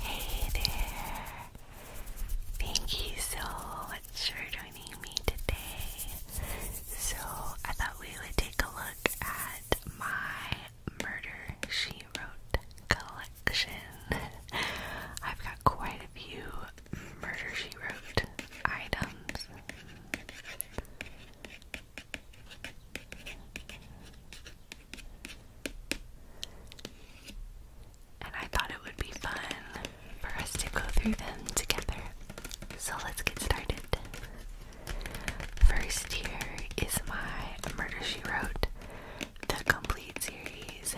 Hey there! Thank you so much for joining me today. So, I thought we would take a look at my Murder She Wrote collection. I've got quite a few Murder She Wrote items. And I thought it would be fun for us to go through them together. So let's get started. First, here is my Murder She Wrote, the complete series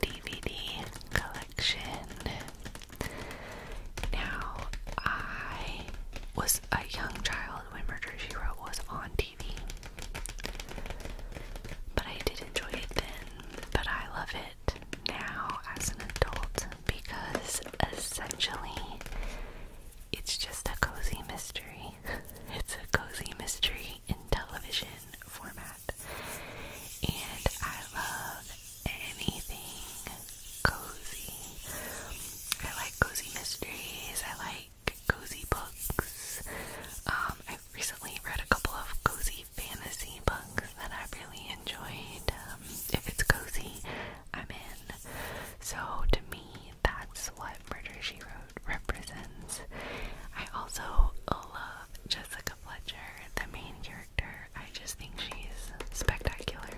DVD collection. Now, I was a young child when Murder She Wrote was on TV. But I did enjoy it then, but I love it now as an adult because essentially it's just a cozy mystery. it's a cozy mystery in television format. And I love anything cozy. I like cozy mysteries. I like like cozy books. Um, I recently read a couple of cozy fantasy books that I really enjoyed. Um, if it's cozy, I'm in. So to me, that's what Murder She Wrote represents. I also love Jessica Fletcher, the main character. I just think she's spectacular.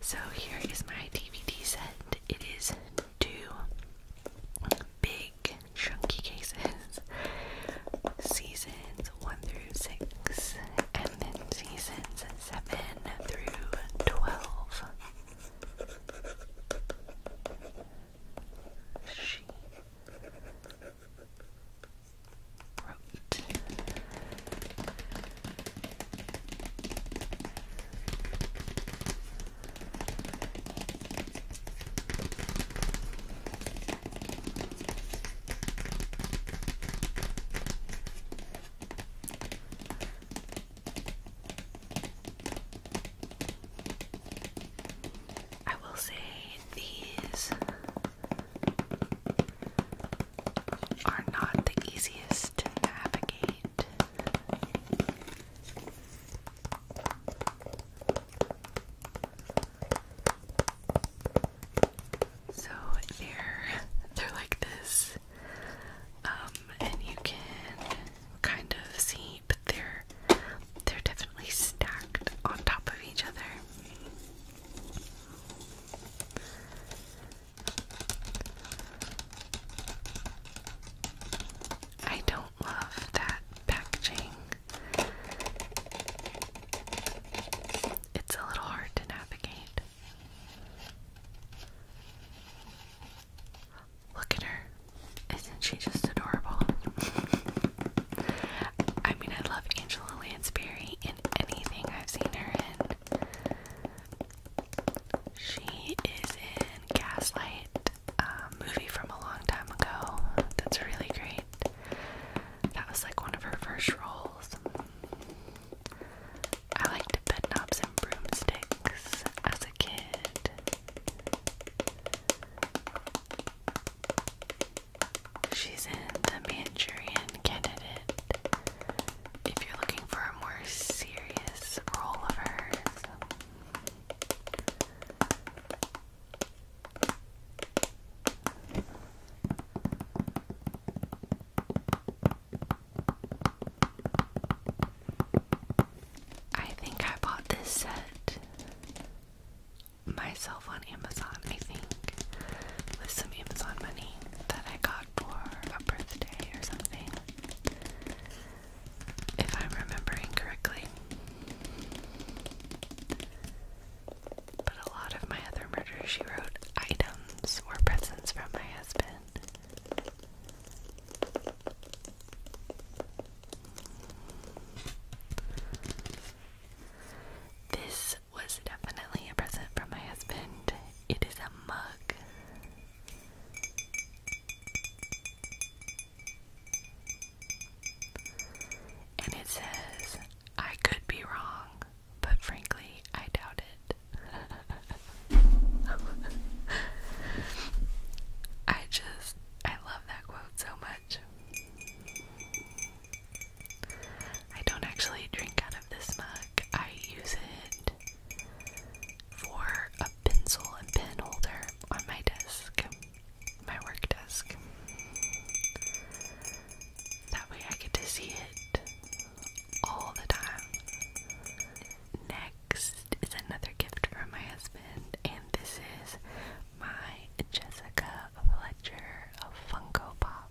So here is my DVD set. It is two big chunky cases seasons 1 through 6, and then seasons 7 through 12. She wrote I will say these are not the easiest to navigate. So they're they're like this, um, and you can kind of see, but they're they're definitely stacked on top of each other. I don't love that packaging. It's a little hard to navigate. Look at her. Isn't she just adorable? I mean, I love Angela Lansbury in anything I've seen her in. She is in Gaslight, a movie from a long time ago that's really great. That was like one of her first roles. I liked bed knobs and broomsticks as a kid. She's in The Manchurian Candidate if you're looking for a more serious role I think I bought this set myself on Amazon, I think, with some Amazon money that I got for a birthday or something, if I'm remembering correctly. But a lot of my other murder she wrote items or presents from my husband. This was definitely a present from my husband. It is a mug. And it says, I could be wrong, but frankly, I doubt it. I just, I love that quote so much. I don't actually drink out this mug. I use it for a pencil and pen holder on my desk, my work desk. That way I get to see it all the time. Next is another gift from my husband, and this is my Jessica Fletcher Funko Pop.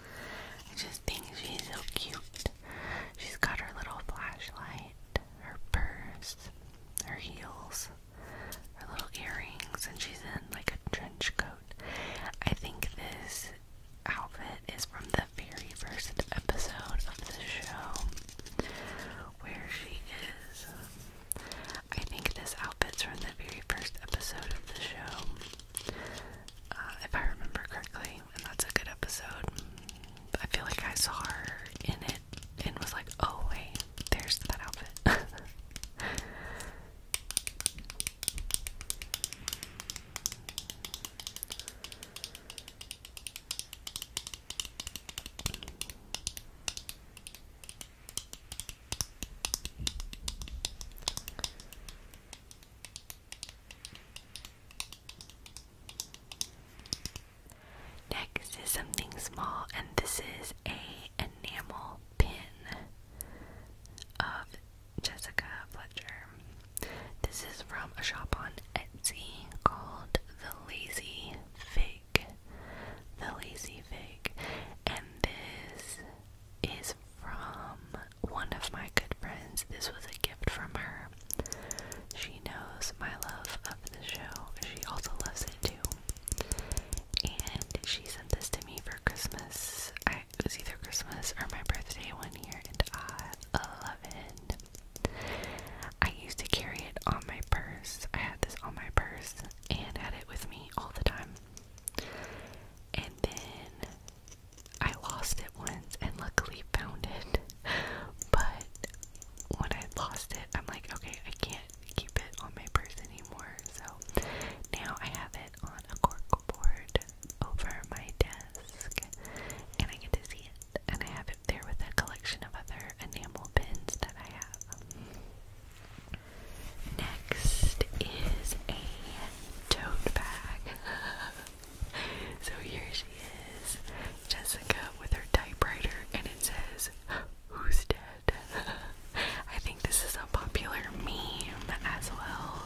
I just think she's so cute. She's got her little flashlight, her purse, her heels, her little earrings, and she's in like a trench coat. I think this outfit is from the very first episode of the show where she is. I think this outfit's from the very first episode of the show. Uh, if I remember correctly, and that's a good episode. I feel like I saw her in it and was like, oh, wait, there's that outfit. Next is something small, and this is a enamel pin of Jessica Fletcher. This is from a shop on Etsy called The Lazy Fig. The Lazy Fig, and this is from one of my good friends. This was a gift from her. She knows my love of the show. She also loves it too. And she sent this to me for Christmas. it was either Christmas or my birthday one year, and I love it. I used to carry it on my purse. I had this on my purse and had it with me all the time. And then I lost it once and luckily found it. But when I lost it, I'm like, okay, I can't keep it on my purse anymore. So now I have it on a cork board over my desk and I get to see it. And I have it there with a collection of other enamel pins that I have. Next is a tote bag. so here she is, Jessica with her typewriter, and it says, Who's dead? I think this is a popular meme as well.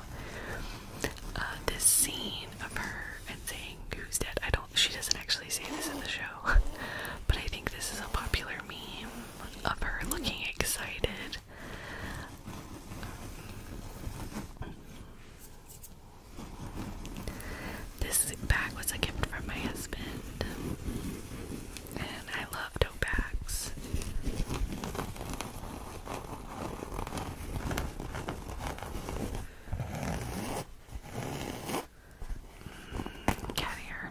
Uh, this scene of her and saying who's dead. I don't, she doesn't actually say this in the show, but I think this is a popular meme of her looking excited it. This bag was a gift from my husband, and I love tote bags. Cat hair.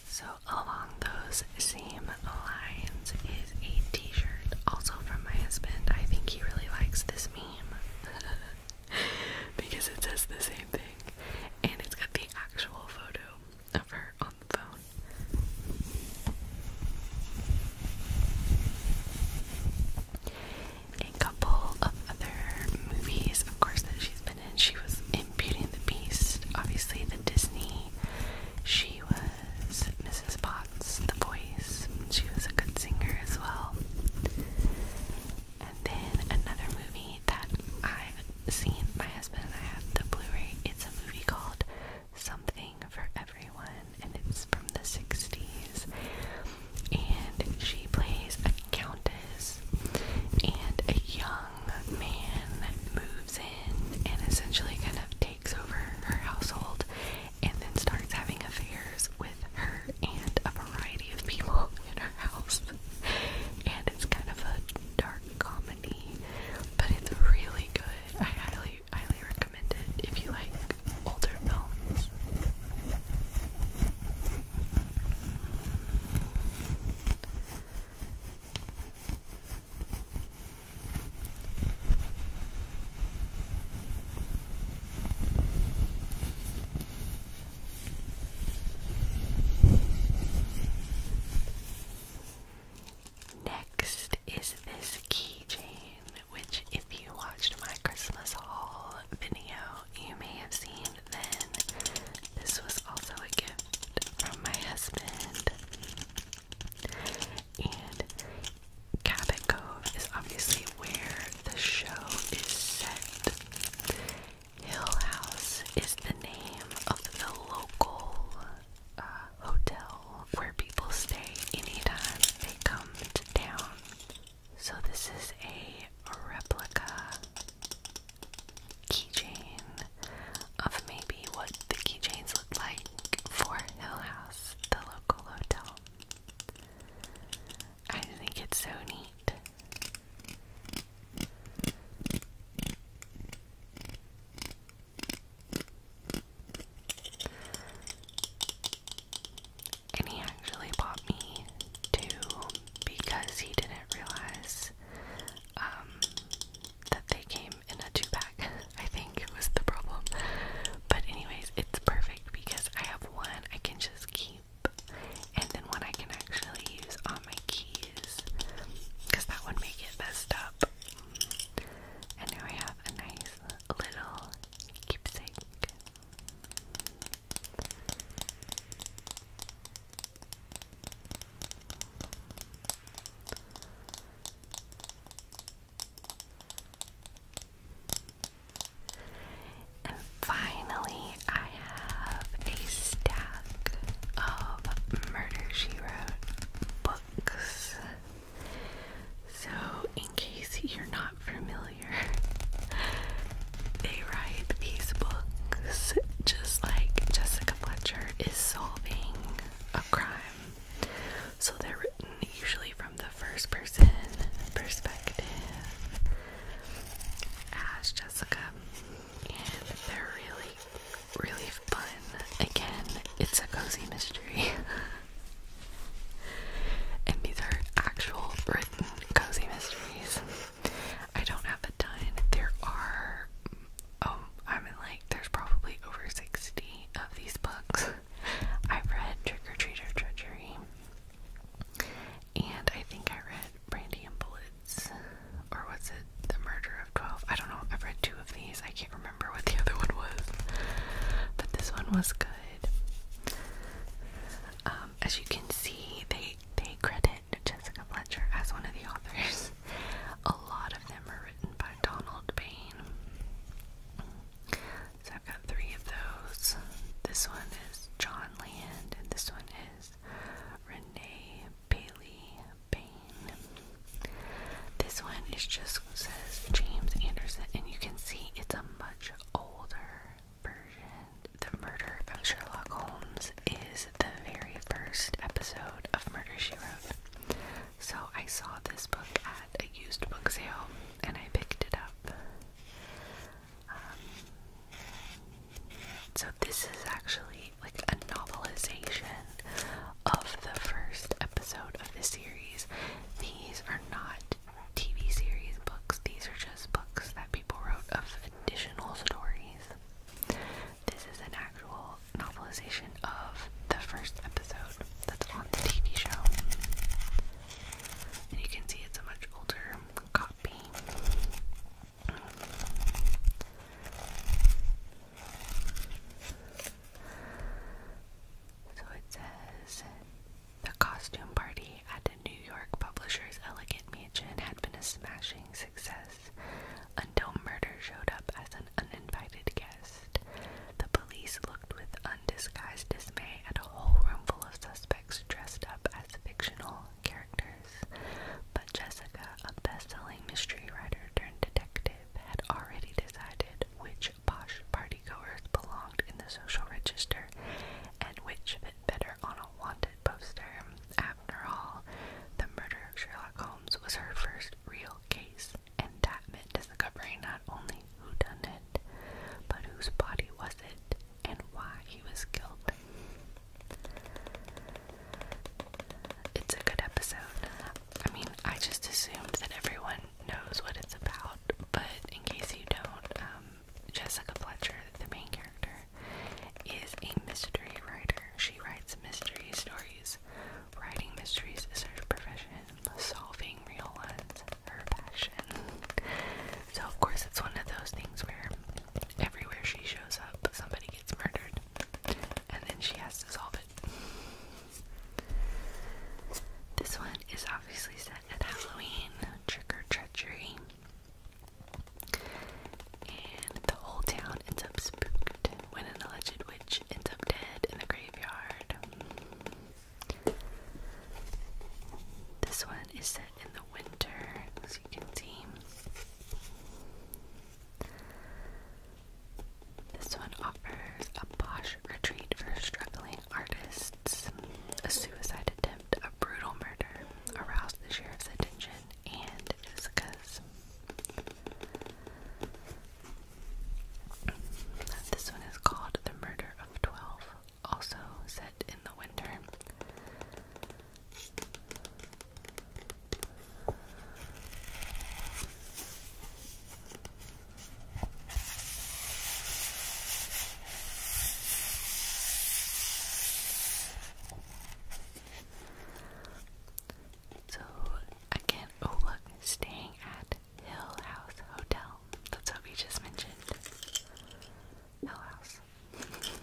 So along those same lines is a t-shirt also from my husband. I think he really likes this meme because it says the same thing and it's got the actual photo of her on the phone. A couple of other movies, of course, that she's been in. She was in Beauty and the Beast, obviously the Disney she was Mrs. Potts, the voice. She was a good singer as well. And then another movie that I've seen, my husband and I have the Blu-ray. It's a movie called Something for Everyone, and it's from the 60s. And she plays a countess and a young young man moves in and essentially kind of takes over her household and then starts having affairs with her and a variety of people in her house. And it's kind of a dark comedy, but it's really good. I highly, highly recommend it if you like older films. Next is this keychain, which, if you watched my Christmas haul video, you may have seen then. This was also a gift from my husband. And Cabot Cove is obviously where the show is set. Hill House is the name of the local uh, hotel where people stay anytime they come to town. So, this is a replica keychain of maybe what the keychains look like for Hill House, the local hotel. I think it's so neat. And he actually bought me two because he didn't realize um, that they came in a two pack. I think it was the problem. But, anyways, it's perfect because I have one I can just keep and then one I can actually use on my keys because that would make it messed up. And now we have a nice little keepsake. And finally, I have a stack of Murder She Wrote books. So, in case you're not familiar, they write these books just like Jessica Rebecca Fletcher is solving a crime. So they're written usually from the first person perspective as Jessica. And they're really, really fun. Again, it's a cozy mystery. and these are actual written cozy mysteries. I don't have a ton. There are, oh, I mean, like, there's probably over 60 of these books. I've read Trick or Treat or Treachery, and I think I read Brandy and Bullets, or was it The Murder of 12? I don't know. I've read two of these. I can't remember what the other one was, but this one was good. Um, as you can see, they they credit Jessica Fletcher as one of the authors. A lot of them are written by Donald Bain. So I've got three of those. This one is John Land, and this one is Renee Bailey Bain. This one is just says James Anderson, and you can see it's a much older version, The Murder of Sherlock Holmes, is the very first episode of Murder She Wrote. So I saw this book at a used book sale and I picked it up. Um, so this is actually like a novelization of the first episode of the series. These are not TV series books, these are just books that people wrote of additional stories. This is an actual novelization of the first episode that's on the TV show. you can see it's a much older copy. So it says the costume party at New York publisher's elegant mansion had been a smashing success until murder showed up as an uninvited guest. The police looked with undisguised dismay at a whole room full of suspects dressed up as fictional characters. But Jessica, a best-selling mystery writer turned detective, had already decided which posh party goers belonged in the social register and which fit better on a wanted poster. After all, the murder of Sherlock Holmes was her first real case, and that meant discovering not only who done it, but whose body was it and why he was killed. It's a good episode. I mean, I just assumed that everyone knows what it's about, but in case you don't, um, Jessica Fletcher, the main character, is a mystery writer. She writes mystery stories. Writing mysteries is her profession. Solving real ones, her passion. So of course it's one of those things where everywhere she shows up, somebody gets murdered, and then she has to solve it. This one is obviously set at Halloween, trick or treachery. And the whole town ends up spooked when an alleged witch ends up dead in the graveyard. This one is set in the winter, as you can see. This one offers a posh retreat for struggling artists, a suicide attempt a brutal murder aroused the sheriff's attention and Isika's. This one is called The Murder of Twelve, also set in the winter. So again, oh look, staying at Hill House Hotel. That's what we just mentioned. Hill House.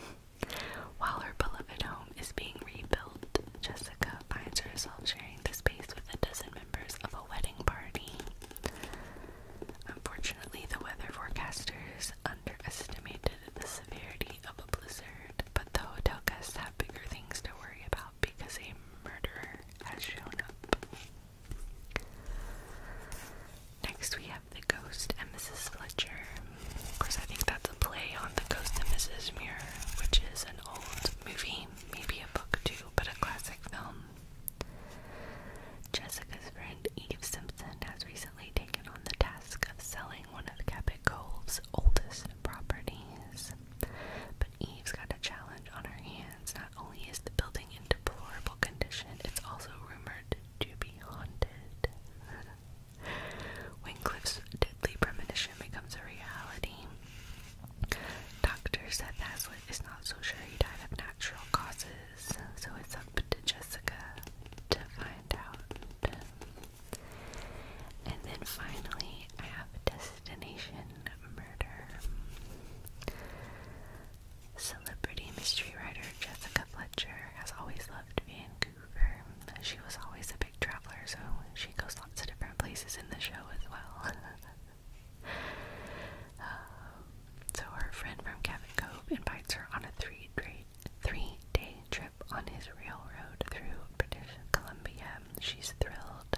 While her beloved home is being rebuilt, Jessica finds herself sharing the space with a dozen members of a wedding party. Unfortunately, the weather forecasters underestimated the severity of a blizzard, but the hotel guests have bigger things to worry about because a murderer has shown up. Next, we have The Ghost and Mrs. Fletcher. Of course, I think that's a play on The Ghost of Mrs. Muir, which is an old movie, maybe a book too, but a classic film Jessica's friend Eve Simpson has recently taken on the task of selling one of Cabot Cove's oldest properties. But Eve's got a challenge on her hands. Not only is the building in deplorable condition, it's also rumored to be haunted. when deadly premonition becomes a reality, Dr. Seth Haslett is not so sure he died of natural causes so it's up to Jessica to find out. And then finally, I have Destination Murder. Celebrity mystery writer Jessica Fletcher has always loved Vancouver. She was always a big traveler, so she goes lots of different places in the show as well. Um, so her friend from Cabot Cove invites her on a three day, trip on his railroad through British Columbia. She's thrilled,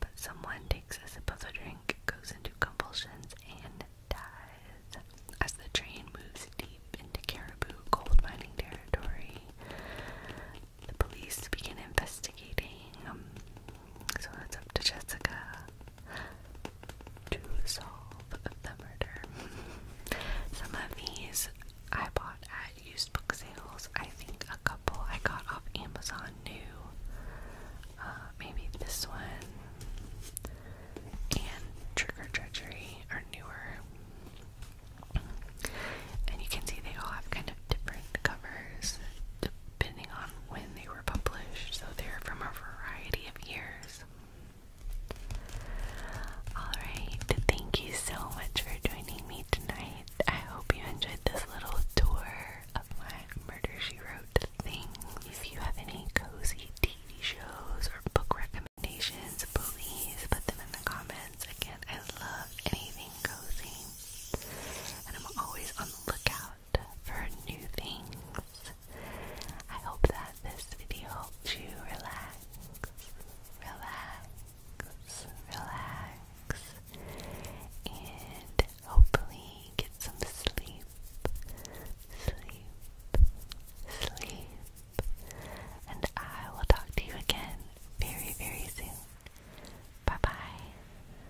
but someone takes a sip of a drink, goes into convulsions, and dies. As the train moves deep into Caribou gold mining territory, the police begin investigating. Um, so it's up to Jessica to solve the murder. Some of these I bought at used book sales. I think a couple I got off Amazon new. Uh, maybe this one and Trigger or Treachery are newer. And you can see they all have kind of different covers depending on when they were published, so they're from a variety of years. Alright, thank you so much for joining me tonight. I hope you enjoyed this little tour of my Murder She Wrote thing. If you have any cozy TV shows or book recommendations, please put them in the comments. Again, I love anything cozy. And I'm always on the lookout for new things. I hope that this video helped you relax, relax, relax, and hopefully get some sleep, sleep, sleep. And I will talk to you again very, very soon. Bye bye.